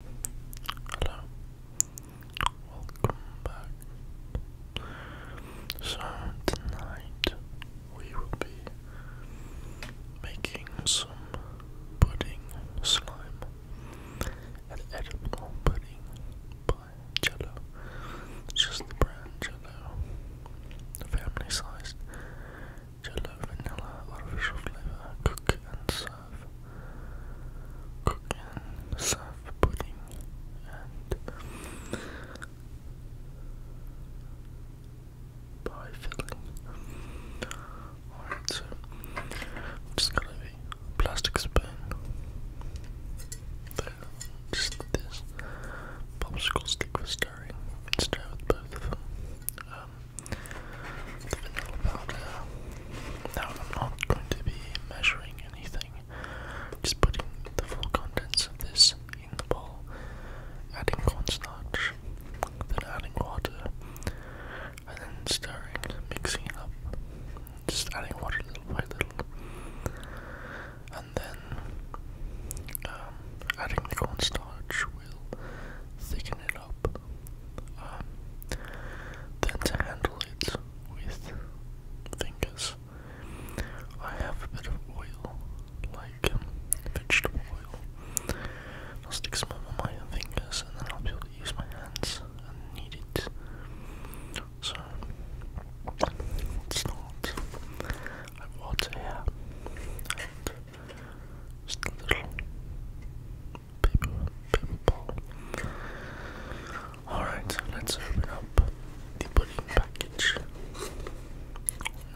Hello. Welcome back. So, tonight we will be making some pudding slime. and edible pudding by Jello. just the brand Jello. the Family size Jello vanilla artificial flavor. Cook and serve cooking, soft pudding, and pie filling. Alright, so just gonna have plastic spoon. just this popsicle stick for stirring. Stir with both of them. Um, vanilla powder. Now I'm not going to be measuring anything, just putting the full contents of this in the bowl, adding cornstarch, then adding water, and then stirring, mixing it up, just adding water little by little, and then um, adding the cornstarch will thicken it up. Um, than to handle it with fingers. I have a bit of oil, like um, vegetable oil. I'll stick some on my fingers and then I'll be able to use my hands and knead it. So, it's not. water here. just a little paper, paper ball. Alright, let's open up the pudding package.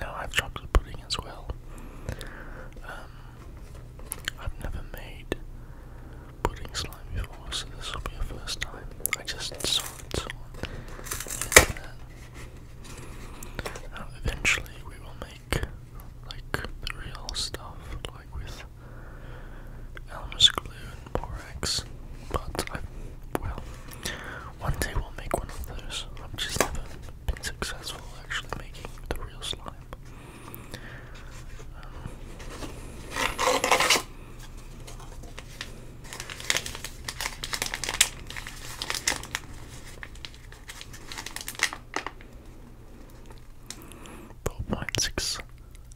Now I have chocolate pudding as well. Um, I've never made pudding slime before, so this will be a first time. I just saw it on the internet. eventually we will make like the real stuff, like with Elmer's glue and borax. But I well, one day we'll make one of those. I've just never been successful actually making the real slime. Um, 4.6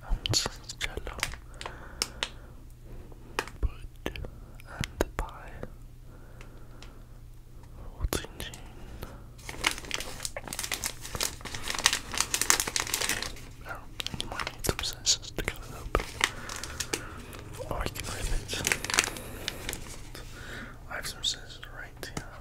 ounces jello, bread and pie, 14 gin. Oh, you might need some scissors to cut it open. Or I can rip it. I have some scissors right here.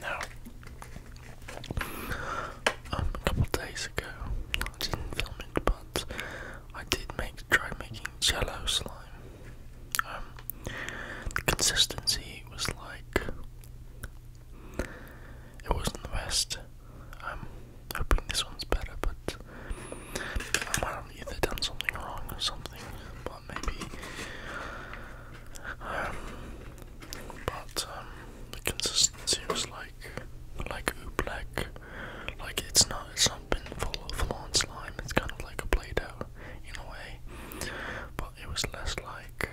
Now, um, a couple days ago, I didn't film it, but I did make try making jello slime. Um, the consistency was like it wasn't the best. I'm hoping this one's better, but I might have either done something wrong or something. But maybe. Um, but um, the consistency was like, like oobleck. Like it's not, it's not been full of lawn slime. It's kind of like a play-doh in a way, but it was less like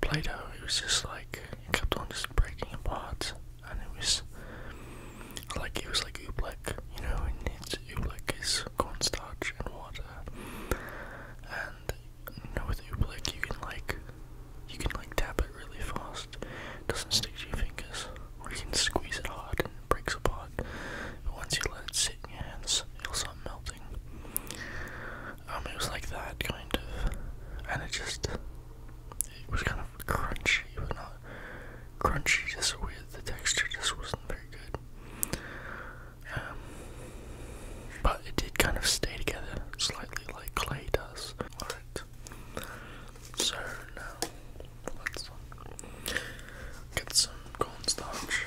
Play-Doh. It was just like it kept on just breaking apart, and it was like it was like oobleck, you know, and it's oobleck is cornstarch and water, and you know, with oobleck you can like you can like tap it really fast, it doesn't stick to your fingers, or you can squeeze it hard and it breaks apart. But once you let it sit in your hands, it'll start melting. Um, it was like that, kind of. And it just. It was kind of crunchy, but not crunchy, just weird. The texture just wasn't very good. Um, but it did kind of stay together slightly like clay does. Alright. So now let's get some cornstarch.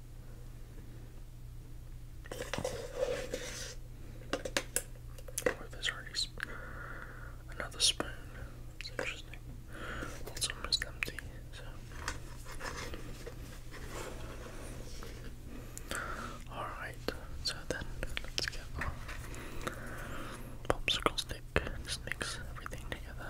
another spoon. It's interesting. It's almost empty, so. Alright, so then let's get our popsicle stick. Just mix everything together.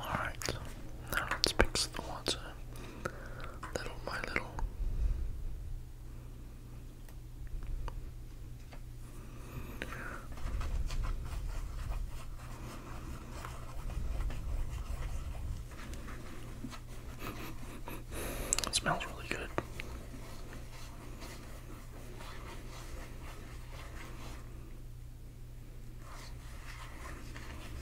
Alright, now let's mix the water little by little smells really good.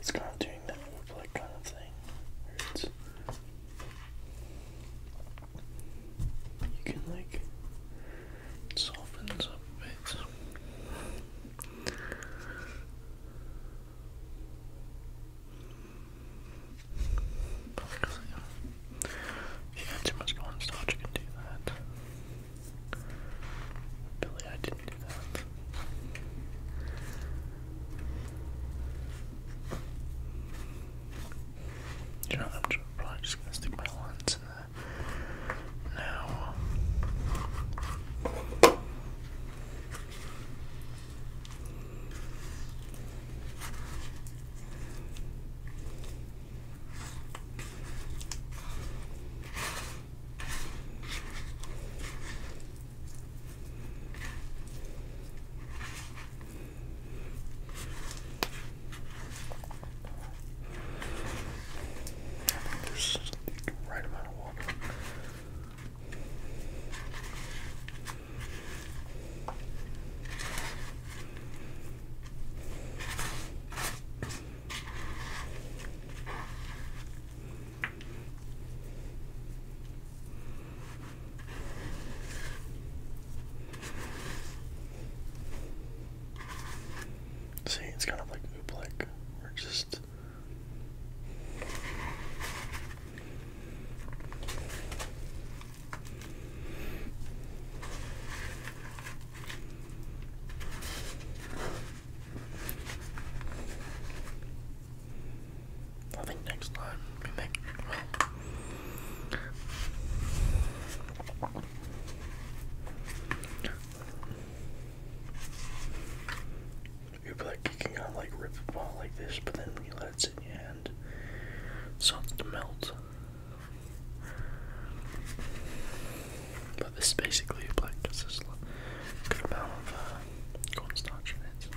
It's kind of doing that like kind of thing. It's, you can like softens up a bit. Because, yeah, yeah, too much corn starch can do that. Billy, I didn't do that. You I'm just, probably just gonna stick my lines in there now. I think there's the right amount of water See, it's kind of like We're just I think next time we make well You'll be like kicking out like rip ball like this, but then you let it in starts to melt. But this is basically like just this good amount of uh, cornstarch in it.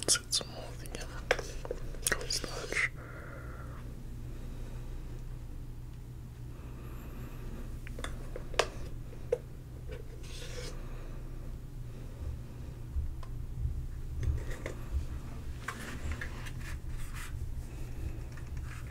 Let's get some more of the um, cold starch.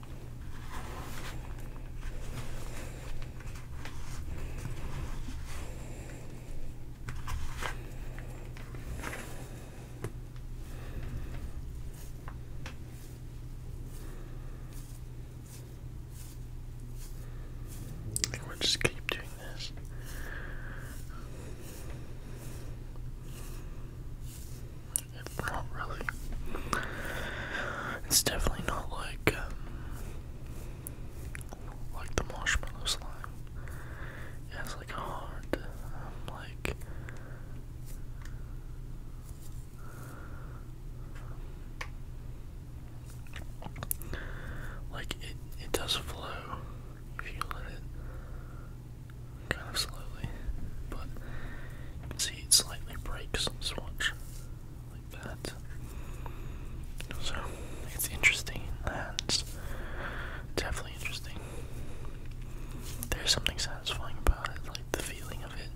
I think we'll just keep doing this. not really it's definitely not like um, like the marshmallow slime. It like hard, um, like like it it does flow if you let it kind of slowly, but see it slightly breaks. watch like So it's interesting. That's definitely interesting. There's something satisfying about it, like the feeling of it.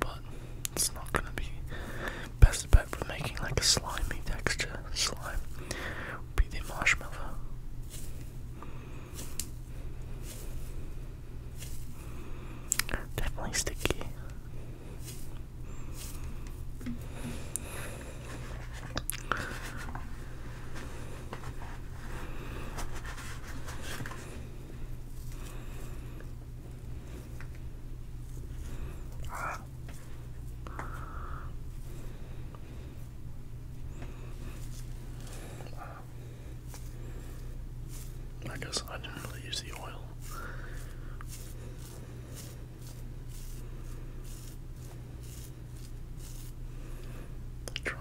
But it's not gonna be best bet for making like a slimy texture. Slime would be the marshmallow. Definitely sticky. I guess I didn't really use the oil. let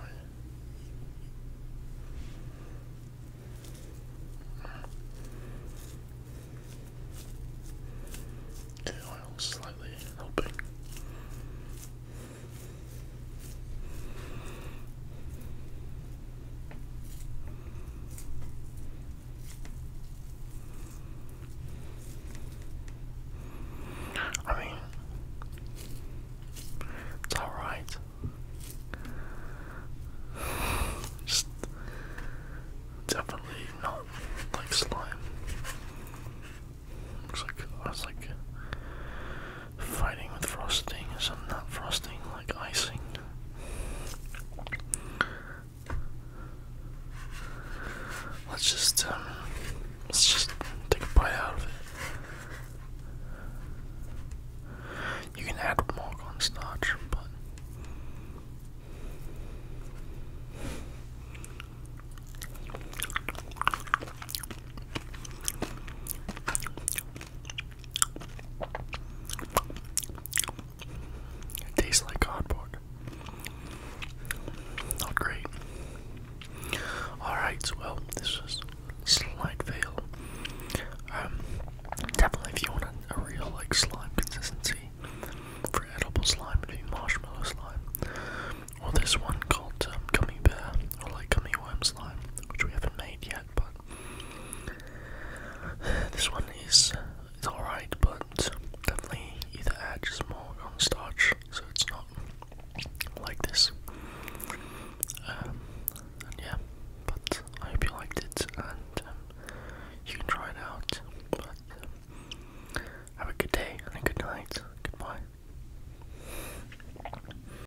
The oil slightly helping. I mean, it's all right. Just definitely not like slime. Looks like it's like fighting with frosting, so not frosting, like icing. Let's just um, let's just take a bite out of it. You can add milk on but it tastes like cardboard. Not great. Alright, well, this was slight fail. Um, definitely if you want a, real like slime consistency for edible slime, it'd be marshmallow slime. Or this one called Cummy um, bear, or like Cummy worm slime, which we haven't made yet but this one is it's alright, but definitely either adds just more cornstarch, so it's not like this. Um, yeah, but I hope you liked it, and um, you can try it out. But um, have a good day and a good night. Goodbye.